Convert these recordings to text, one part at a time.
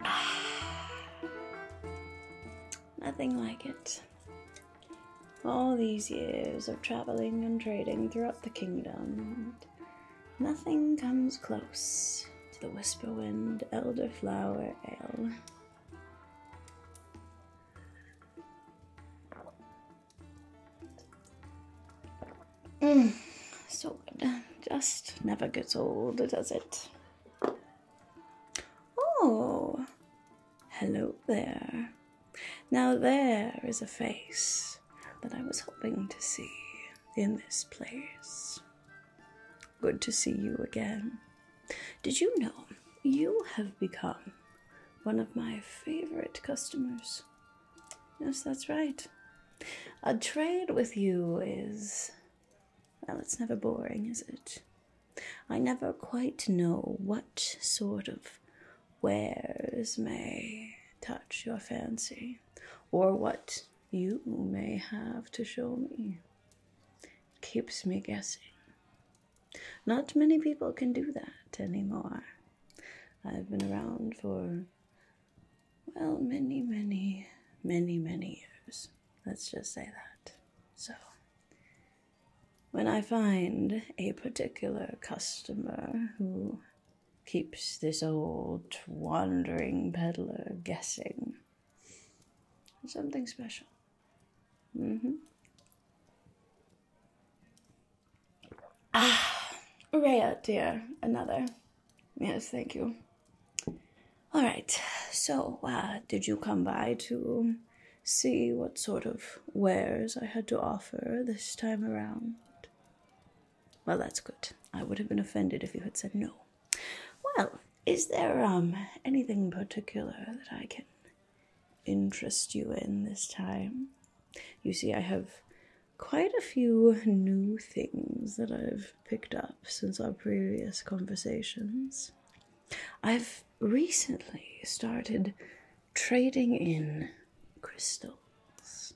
Nothing like it. All these years of traveling and trading throughout the kingdom, nothing comes close to the Whisperwind Elderflower Ale. Mm, so good. Just never gets old, does it? Oh, hello there. Now, there is a face that I was hoping to see in this place. Good to see you again. Did you know you have become one of my favorite customers? Yes, that's right. A trade with you is well, it's never boring, is it? I never quite know what sort of wares may touch your fancy, or what you may have to show me. It keeps me guessing. Not many people can do that anymore. I've been around for well, many, many, many, many years. Let's just say that. So, when I find a particular customer who keeps this old wandering peddler guessing, something special. Mm hmm. Ah, Rhea, dear, another. Yes, thank you. All right. So, uh, did you come by to see what sort of wares I had to offer this time around? Well, that's good. I would have been offended if you had said no. Well, is there um anything particular that I can interest you in this time? You see, I have quite a few new things that I've picked up since our previous conversations. I've recently started trading in crystals.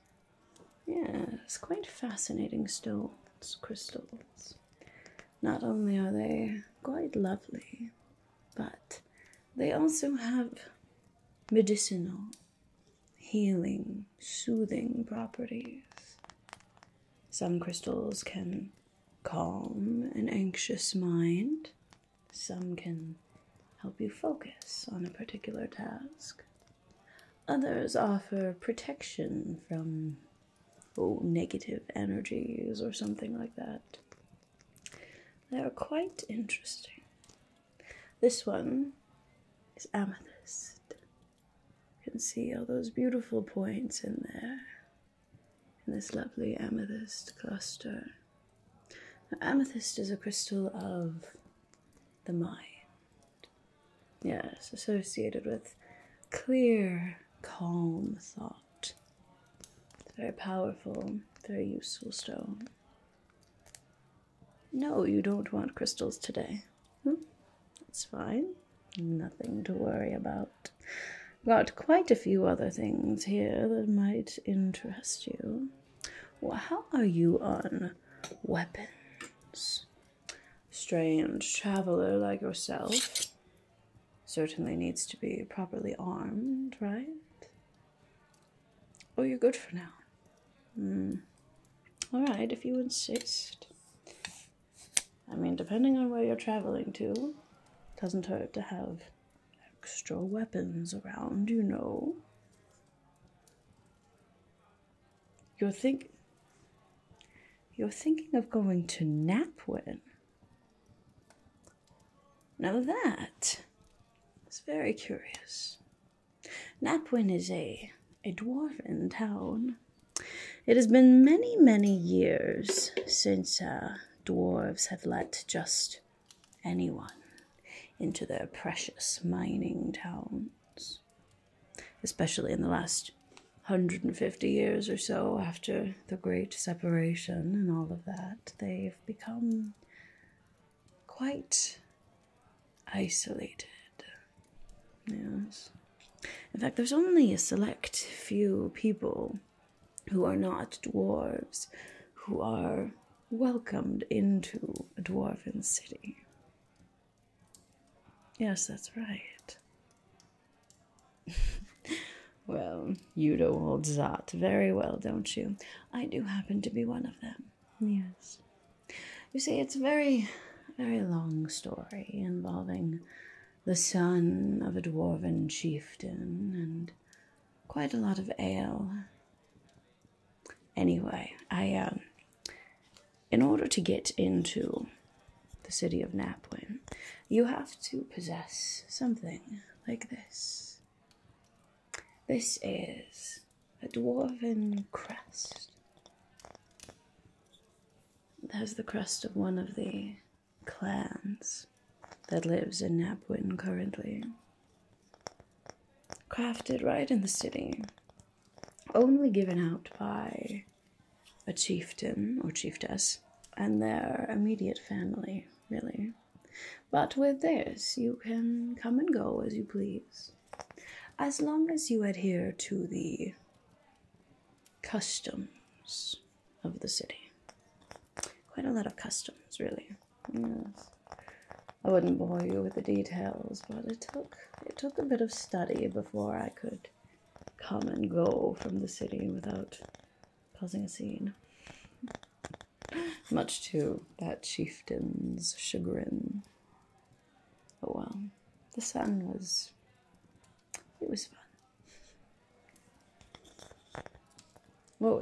Yeah, it's quite fascinating stones, crystals. Not only are they quite lovely, but they also have medicinal, healing, soothing properties. Some crystals can calm an anxious mind, some can help you focus on a particular task. Others offer protection from oh, negative energies or something like that. They're quite interesting. This one is amethyst. You can see all those beautiful points in there, in this lovely amethyst cluster. amethyst is a crystal of the mind. Yes, associated with clear, calm thought. It's very powerful, very useful stone. No, you don't want crystals today. Hmm, that's fine. Nothing to worry about. Got quite a few other things here that might interest you. how are you on weapons? Strange traveler like yourself certainly needs to be properly armed, right? Oh, you're good for now. Mm. Alright, if you insist. I mean, depending on where you're traveling to, it doesn't hurt to have extra weapons around, you know. You're think You're thinking of going to Napwin. Now that is very curious. Napwin is a, a dwarven town. It has been many, many years since uh, dwarves have let just anyone into their precious mining towns, especially in the last 150 years or so after the Great Separation and all of that. They've become quite isolated. Yes. In fact, there's only a select few people who are not dwarves who are welcomed into a dwarven city. Yes, that's right. well, you know old Zot very well, don't you? I do happen to be one of them. Yes. You see, it's a very, very long story involving the son of a dwarven chieftain and quite a lot of ale. Anyway, I, um, in order to get into the city of Napwin, you have to possess something like this. This is a dwarven crest. There's the crest of one of the clans that lives in Napwin currently. Crafted right in the city, only given out by a chieftain or chiefess and their immediate family, really. But with this, you can come and go as you please. As long as you adhere to the customs of the city. Quite a lot of customs, really. Yes. I wouldn't bore you with the details, but it took it took a bit of study before I could come and go from the city without causing a scene. Much to that chieftain's chagrin. Oh well, the sun was. It was fun. Oh,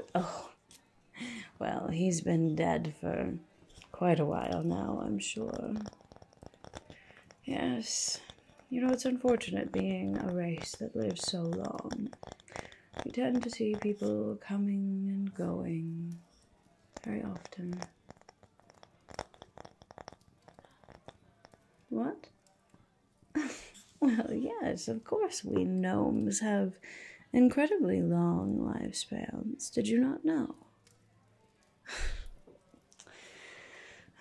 well, he's been dead for quite a while now, I'm sure. Yes. You know, it's unfortunate being a race that lives so long. We tend to see people coming and going very often. What? well, yes, of course, we gnomes have incredibly long lifespans. Did you not know?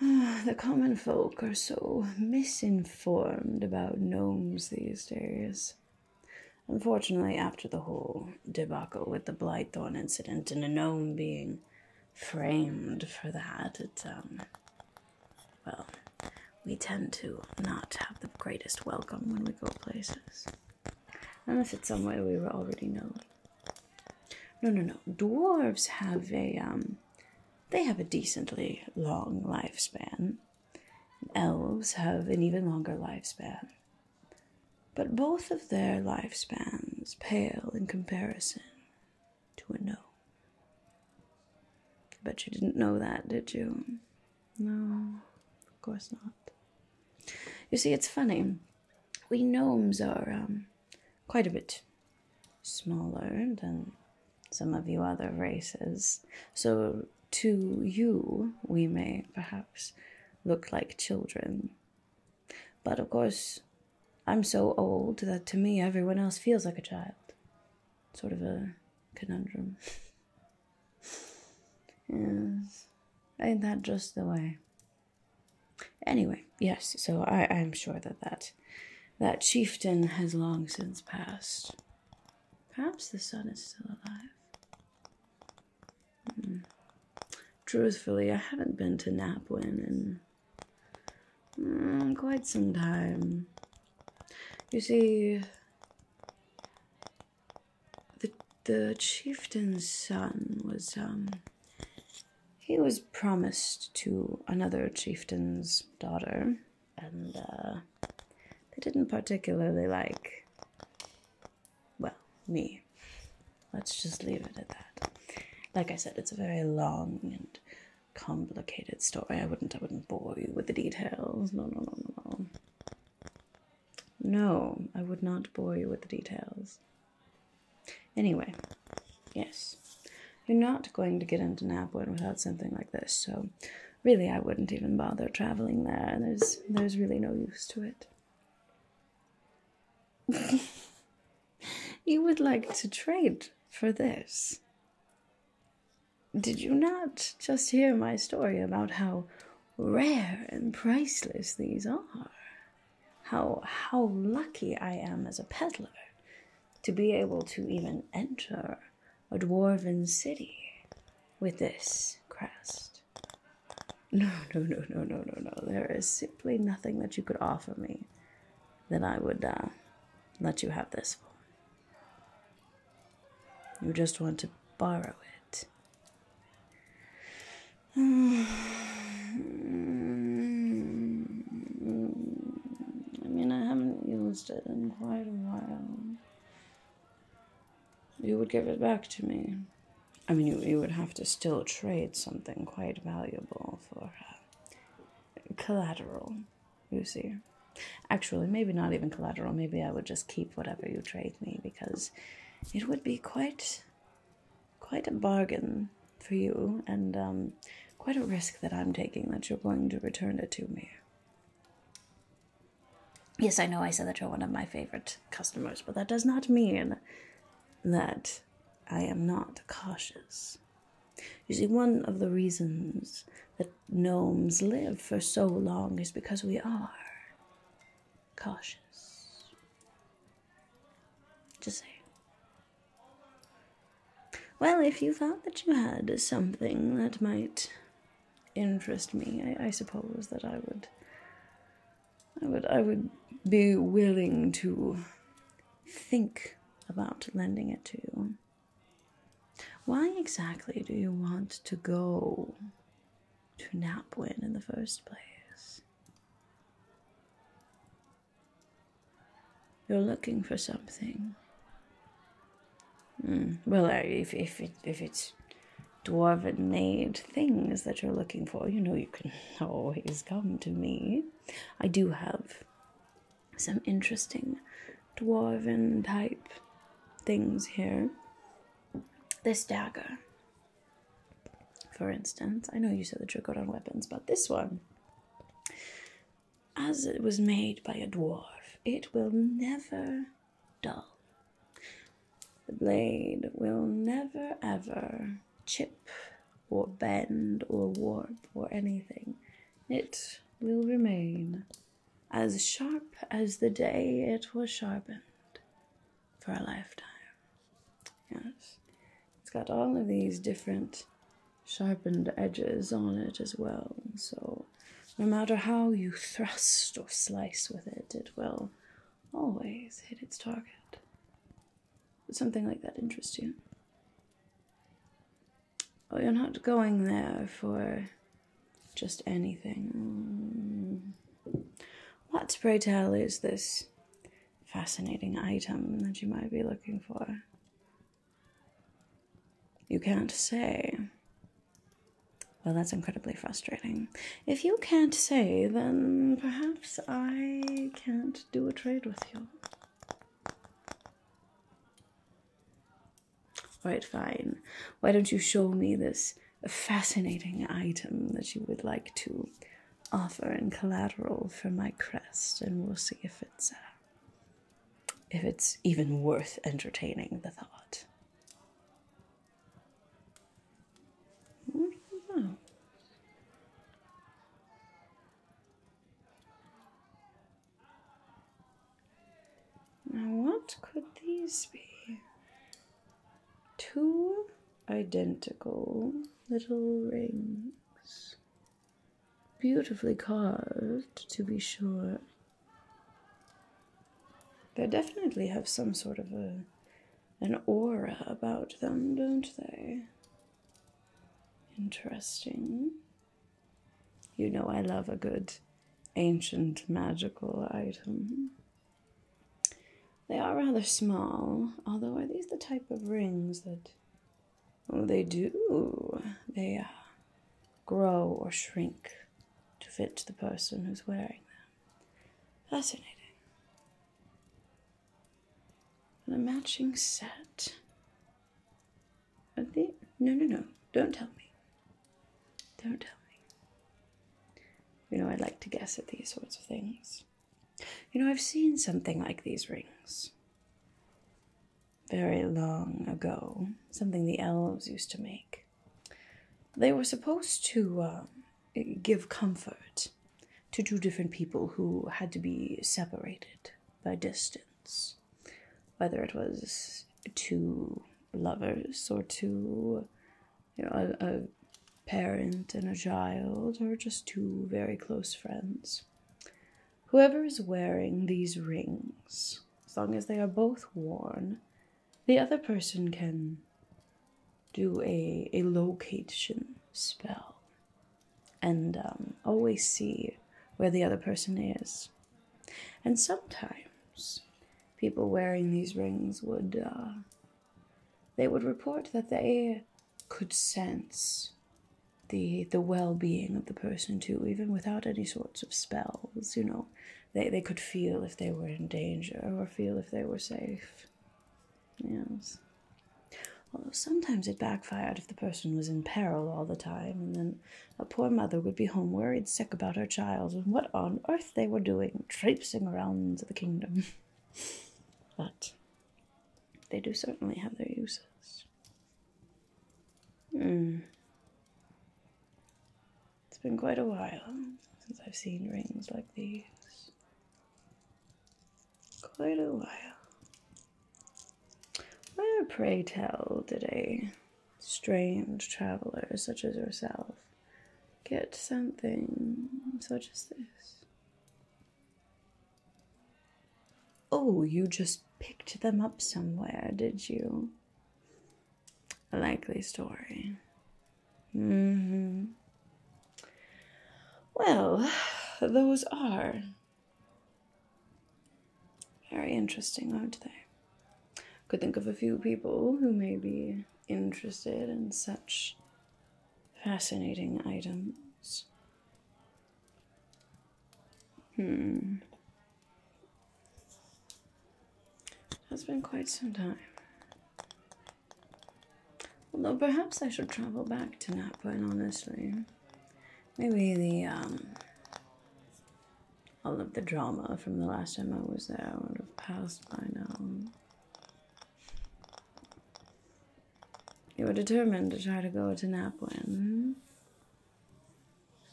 the common folk are so misinformed about gnomes these days. Unfortunately, after the whole debacle with the Blythorn incident and a gnome being framed for that, um, well, we tend to not have the greatest welcome when we go places. Unless it's somewhere we already known. No, no, no. Dwarves have a, um, they have a decently long lifespan. Elves have an even longer lifespan but both of their lifespans pale in comparison to a gnome. I bet you didn't know that, did you? No, of course not. You see, it's funny. We gnomes are um, quite a bit smaller than some of you other races, so to you, we may perhaps look like children. But of course, I'm so old that to me everyone else feels like a child. Sort of a conundrum. yes. Ain't that just the way? Anyway, yes, so I, I'm sure that, that that chieftain has long since passed. Perhaps the son is still alive truthfully, I haven't been to Napwin in mm, quite some time. You see, the the chieftain's son was um he was promised to another chieftain's daughter, and uh, they didn't particularly like well, me. Let's just leave it at that. Like I said, it's a very long and complicated story. I wouldn't I wouldn't bore you with the details. No no no no no. No, I would not bore you with the details. Anyway, yes. You're not going to get into Napwood without something like this, so really I wouldn't even bother traveling there. There's there's really no use to it. you would like to trade for this. Did you not just hear my story about how rare and priceless these are? How how lucky I am as a peddler to be able to even enter a dwarven city with this crest. No, no, no, no, no, no, no. There is simply nothing that you could offer me that I would uh, let you have this for. You just want to borrow it. I mean, I haven't used it in quite a while you would give it back to me. I mean, you, you would have to still trade something quite valuable for uh, collateral, you see. Actually, maybe not even collateral. Maybe I would just keep whatever you trade me because it would be quite, quite a bargain for you and um, quite a risk that I'm taking that you're going to return it to me. Yes, I know I said that you're one of my favorite customers, but that does not mean that I am not cautious. You see, one of the reasons that gnomes live for so long is because we are cautious. Just say. Well, if you thought that you had something that might interest me. I, suppose that I would I would I would be willing to think about lending it to you. Why exactly do you want to go to Napwin in the first place? You're looking for something. Hmm. Well, if if it, if it's things that you're looking for, you know you can always come to me. I do have some interesting dwarven type things here. This dagger, for instance. I know you said that you're good on weapons, but this one, as it was made by a dwarf, it will never dull. The blade will never ever chip or bend or warp or anything. It will remain as sharp as the day it was sharpened for a lifetime. Yes. It's got all of these different sharpened edges on it as well, so no matter how you thrust or slice with it, it will always hit its target. Would something like that interest you? Oh, you're not going there for just anything. What, pray tell, is this fascinating item that you might be looking for? You can't say. Well, that's incredibly frustrating. If you can't say, then perhaps I can't do a trade with you. Alright, fine. Why don't you show me this fascinating item that you would like to offer in collateral for my crest, and we'll see if it's uh, if it's even worth entertaining the thought. What that? Now, what could these be? Two identical little rings. Beautifully carved, to be sure, they definitely have some sort of a an aura about them, don't they? Interesting. You know I love a good ancient magical item. They are rather small, although are these the type of rings that Oh, they do. They are grow or shrink to fit the person who's wearing them. Fascinating. a matching set. Are they? No, no, no. Don't tell me. Don't tell me. You know, I like to guess at these sorts of things. You know, I've seen something like these rings very long ago, something the elves used to make. They were supposed to um, give comfort to two different people who had to be separated by distance, whether it was two lovers or two, you know, a parent and a child, or just two very close friends. Whoever is wearing these rings as long as they are both worn, the other person can do a, a location spell and um, always see where the other person is. And sometimes people wearing these rings would uh, they would report that they could sense the the well-being of the person too, even without any sorts of spells, you know they, they could feel if they were in danger or feel if they were safe. Yes. Although sometimes it backfired if the person was in peril all the time, and then a poor mother would be home worried sick about her child and what on earth they were doing, traipsing around the kingdom. but they do certainly have their uses. Hmm. It's been quite a while since I've seen rings like these. Quite a while. Where, pray tell, did a strange traveler such as yourself get something such as this? Oh, you just picked them up somewhere, did you? A likely story. Mm-hmm. Well, those are very interesting, aren't they? Could think of a few people who may be interested in such fascinating items. Hmm. It has been quite some time. Although perhaps I should travel back to Napwin, honestly. Maybe the, um, all of the drama from the last time I was there would have passed by now. You were determined to try to go to Napwin.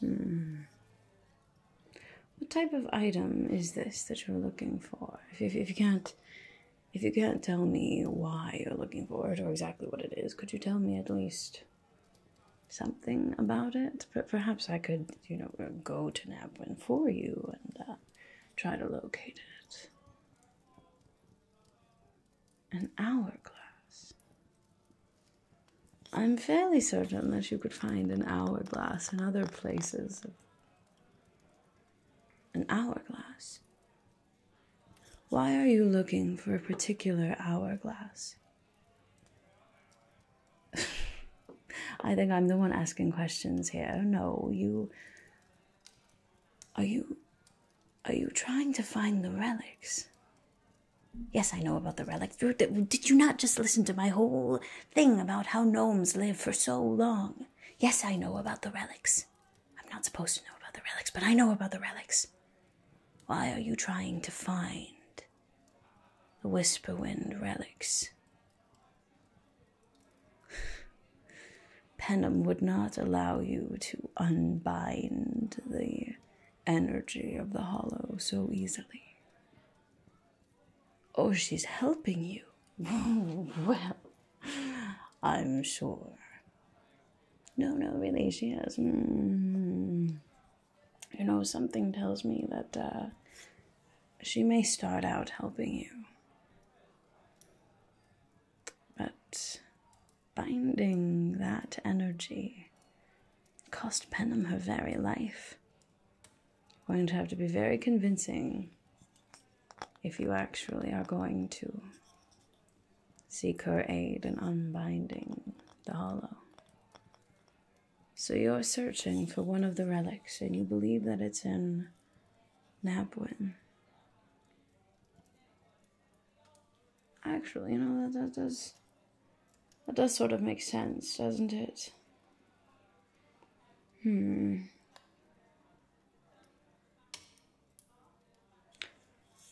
Hmm. hmm. What type of item is this that you're looking for? If, you can't, if you can't tell me why you're looking for it or exactly what it is, could you tell me at least something about it? But perhaps I could, you know, go to Nabwin for you and uh, try to locate it. An hourglass. I'm fairly certain that you could find an hourglass in other places. An hourglass? Why are you looking for a particular hourglass? I think I'm the one asking questions here. No, you. Are you. Are you trying to find the relics? Yes, I know about the relics. Did you not just listen to my whole thing about how gnomes live for so long? Yes, I know about the relics. I'm not supposed to know about the relics, but I know about the relics. Why are you trying to find the Whisperwind relics? Penham would not allow you to unbind the energy of the hollow so easily. Oh, she's helping you. well, I'm sure. No, no, really, she has. mm mm-hmm. You know, something tells me that uh, she may start out helping you. But binding that energy cost Penem her very life. Going to have to be very convincing if you actually are going to seek her aid in unbinding the hollow. So you're searching for one of the relics and you believe that it's in Napwin. Actually, you know, that, that does... That does sort of make sense, doesn't it? Hmm.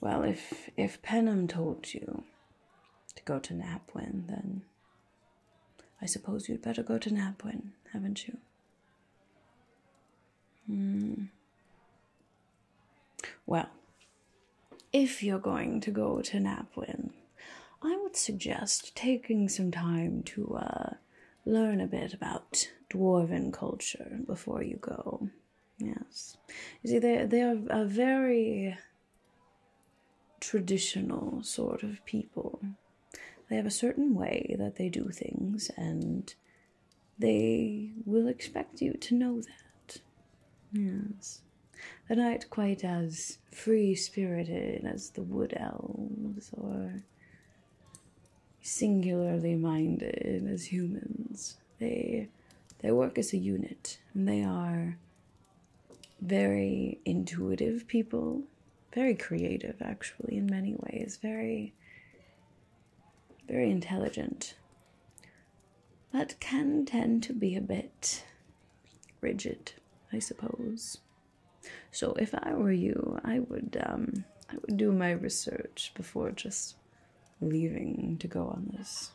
Well, if if Penham told you to go to Napwin, then I suppose you'd better go to Napwin, haven't you? Hmm. Well, if you're going to go to Napwin, I would suggest taking some time to uh, learn a bit about dwarven culture before you go. Yes. You see, they, they are a very traditional sort of people. They have a certain way that they do things, and they will expect you to know that. Yes. They're not quite as free spirited as the wood elves or singularly minded as humans. They they work as a unit and they are very intuitive people, very creative actually in many ways, very very intelligent, but can tend to be a bit rigid, I suppose. So if I were you, I would um, I would do my research before just leaving to go on this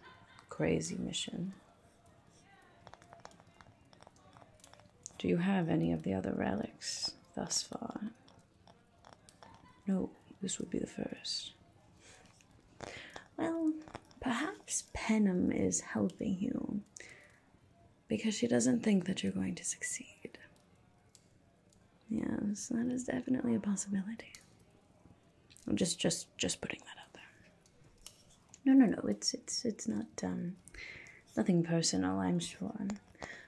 crazy mission. Do you have any of the other relics thus far? No, this would be the first. Well, perhaps Penham is helping you because she doesn't think that you're going to succeed. Yes, that is definitely a possibility. I'm just just just putting that out there. No, no, no. It's it's it's not um nothing personal, I'm sure.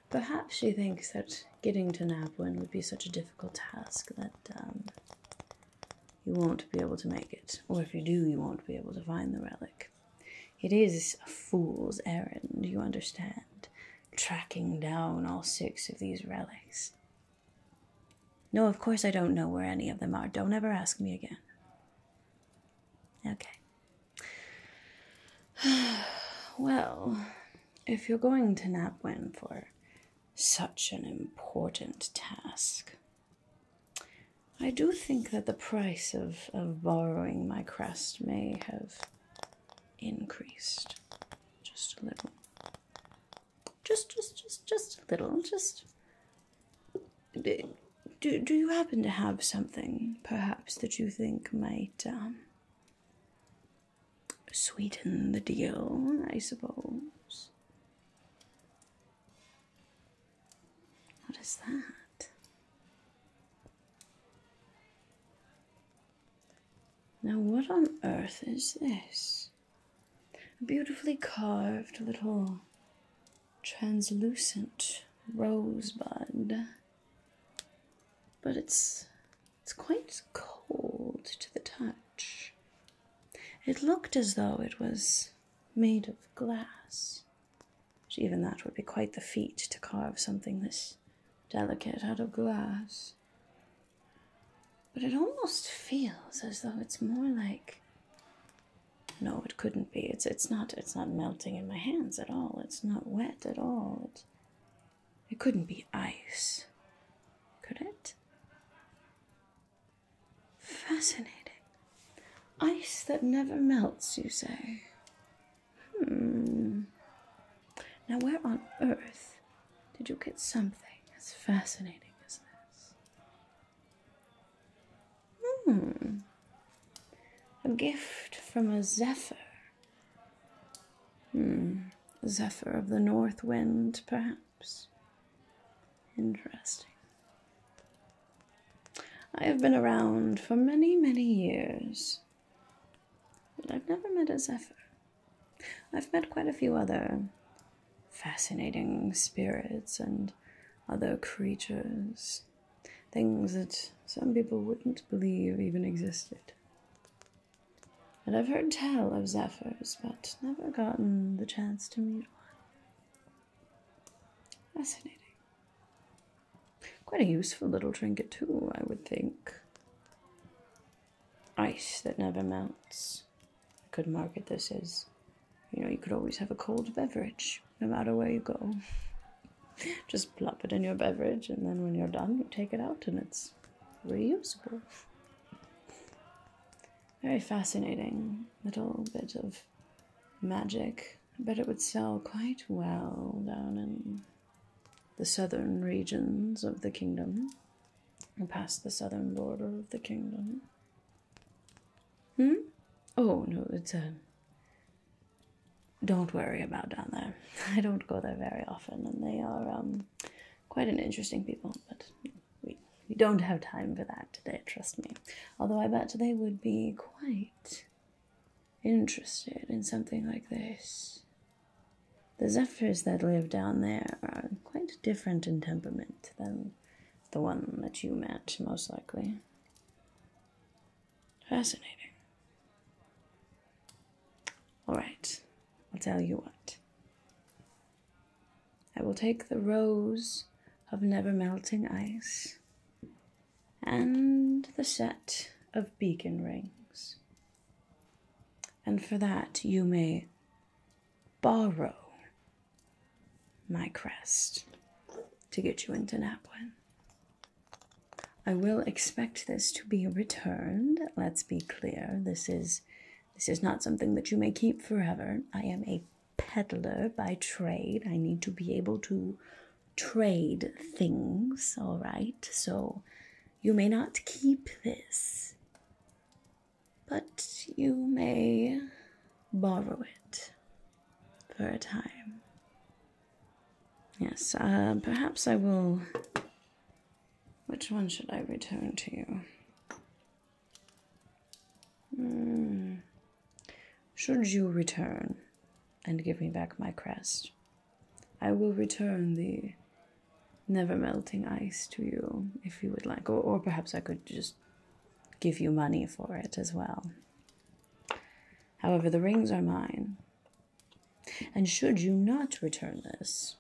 Perhaps she thinks that getting to Napwin would be such a difficult task that um, you won't be able to make it. Or if you do, you won't be able to find the relic. It is a fool's errand, you understand, tracking down all six of these relics. No, of course I don't know where any of them are. Don't ever ask me again. Okay. well, if you're going to nap, Napwin for such an important task. I do think that the price of, of borrowing my crest may have increased just a little. Just, just, just, just a little. Just. Do, do you happen to have something, perhaps, that you think might um, sweeten the deal, I suppose. What is that? Now, what on earth is this? A beautifully carved little translucent rosebud. But it's it's quite cold to the touch. It looked as though it was made of glass. even that would be quite the feat to carve something this delicate out of glass. But it almost feels as though it's more like no, it couldn't be. It's it's not it's not melting in my hands at all. It's not wet at all. It couldn't be ice, could it? Fascinating. Ice that never melts, you say? Hmm. Now, where on earth did you get something as fascinating as this? Hmm. A gift from a zephyr. Hmm. Zephyr of the north wind, perhaps. Interesting. I have been around for many, many years, but I've never met a Zephyr. I've met quite a few other fascinating spirits and other creatures, things that some people wouldn't believe even existed. And I've heard tell of zephyrs, but never gotten the chance to meet one. Fascinating. Quite a useful little trinket, too, I would think. Ice that never melts. I could market this is. you know, you could always have a cold beverage no matter where you go. Just plop it in your beverage, and then when you're done, you take it out and it's reusable. Very fascinating little bit of magic. I bet it would sell quite well down in the southern regions of the kingdom, and past the southern border of the kingdom. Hmm? Oh, no, it's a. Uh, don't worry about down there. I don't go there very often, and they are um, quite an interesting people, but we, we don't have time for that today, trust me. Although I bet they would be quite interested in something like this. The zephyrs that live down there are quite different in temperament than the one that you met, most likely. Fascinating. All right, I'll tell you what. I will take the rose of never melting ice and the set of beacon rings. And for that, you may borrow my crest to get you into Napwin. I will expect this to be returned, let's be clear. This is this is not something that you may keep forever. I am a peddler by trade. I need to be able to trade things, all right? So you may not keep this, but you may borrow it for a time. Yes, uh, perhaps I will which one should I return to you? Hmm. Should you return and give me back my crest, I will return the never melting ice to you if you would like, or, or perhaps I could just give you money for it as well. However, the rings are mine, and should you not return this,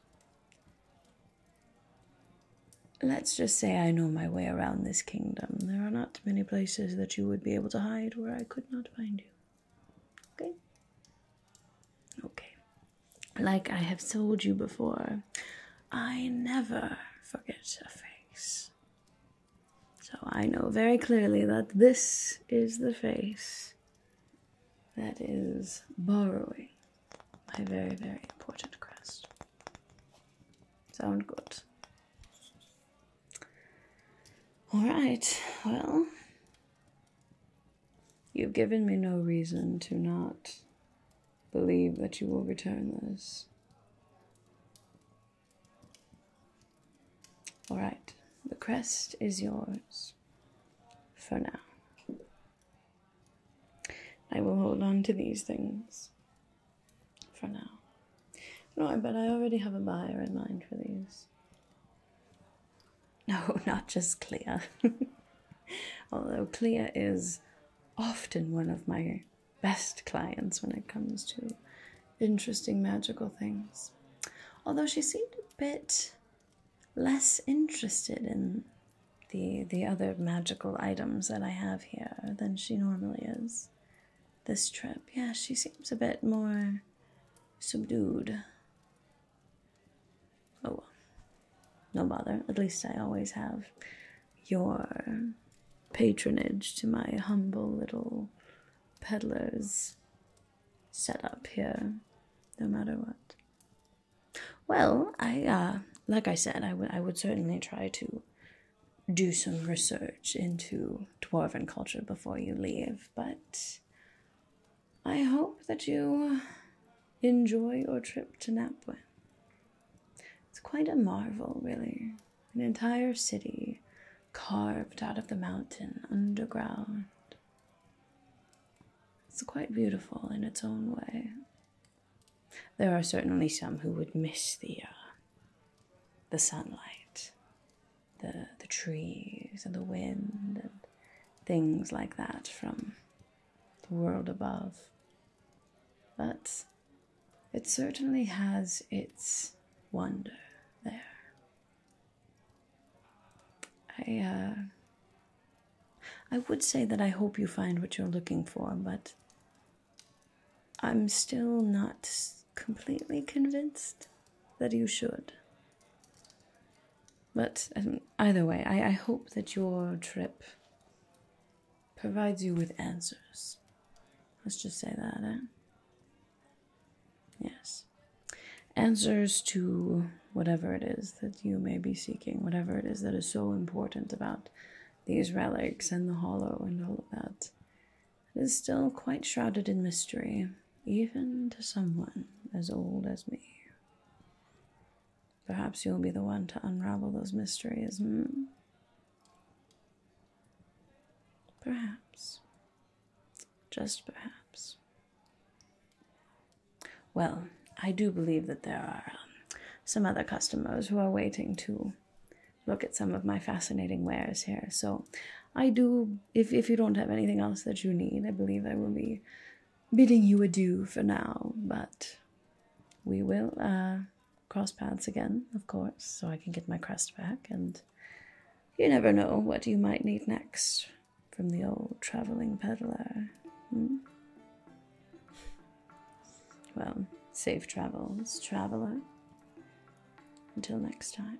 let's just say I know my way around this kingdom. There are not many places that you would be able to hide where I could not find you. Okay? Okay. Like I have told you before, I never forget a face. So I know very clearly that this is the face that is borrowing my very, very important crest. Sound good. Alright, well, you've given me no reason to not believe that you will return this. Alright, the crest is yours for now. I will hold on to these things for now. No, but I already have a buyer in mind for these. No, not just Clea. Although Clea is often one of my best clients when it comes to interesting magical things. Although she seemed a bit less interested in the the other magical items that I have here than she normally is. This trip, yeah, she seems a bit more subdued. Oh well. No bother. At least I always have your patronage to my humble little peddler's set up here no matter what well i uh, like i said i would i would certainly try to do some research into dwarven culture before you leave but i hope that you enjoy your trip to napwin it's quite a marvel really an entire city carved out of the mountain underground it's quite beautiful in its own way. There are certainly some who would miss the uh, the sunlight, the the trees and the wind and things like that from the world above. But it certainly has its wonder there. I uh, I would say that I hope you find what you're looking for, but I'm still not completely convinced that you should. But um, either way, I, I hope that your trip provides you with answers. Let's just say that, eh? Yes. Answers to whatever it is that you may be seeking, whatever it is that is so important about these relics and the hollow and all of that. It is still quite shrouded in mystery, even to someone as old as me. Perhaps you'll be the one to unravel those mysteries. Hmm? Perhaps. Just perhaps. Well, I do believe that there are um, some other customers who are waiting to look at some of my fascinating wares here. So I do, if, if you don't have anything else that you need, I believe I will be bidding you adieu for now, but we will uh, cross paths again, of course, so I can get my crest back and you never know what you might need next from the old traveling peddler. Hmm? Well, safe travels, traveler. Until next time.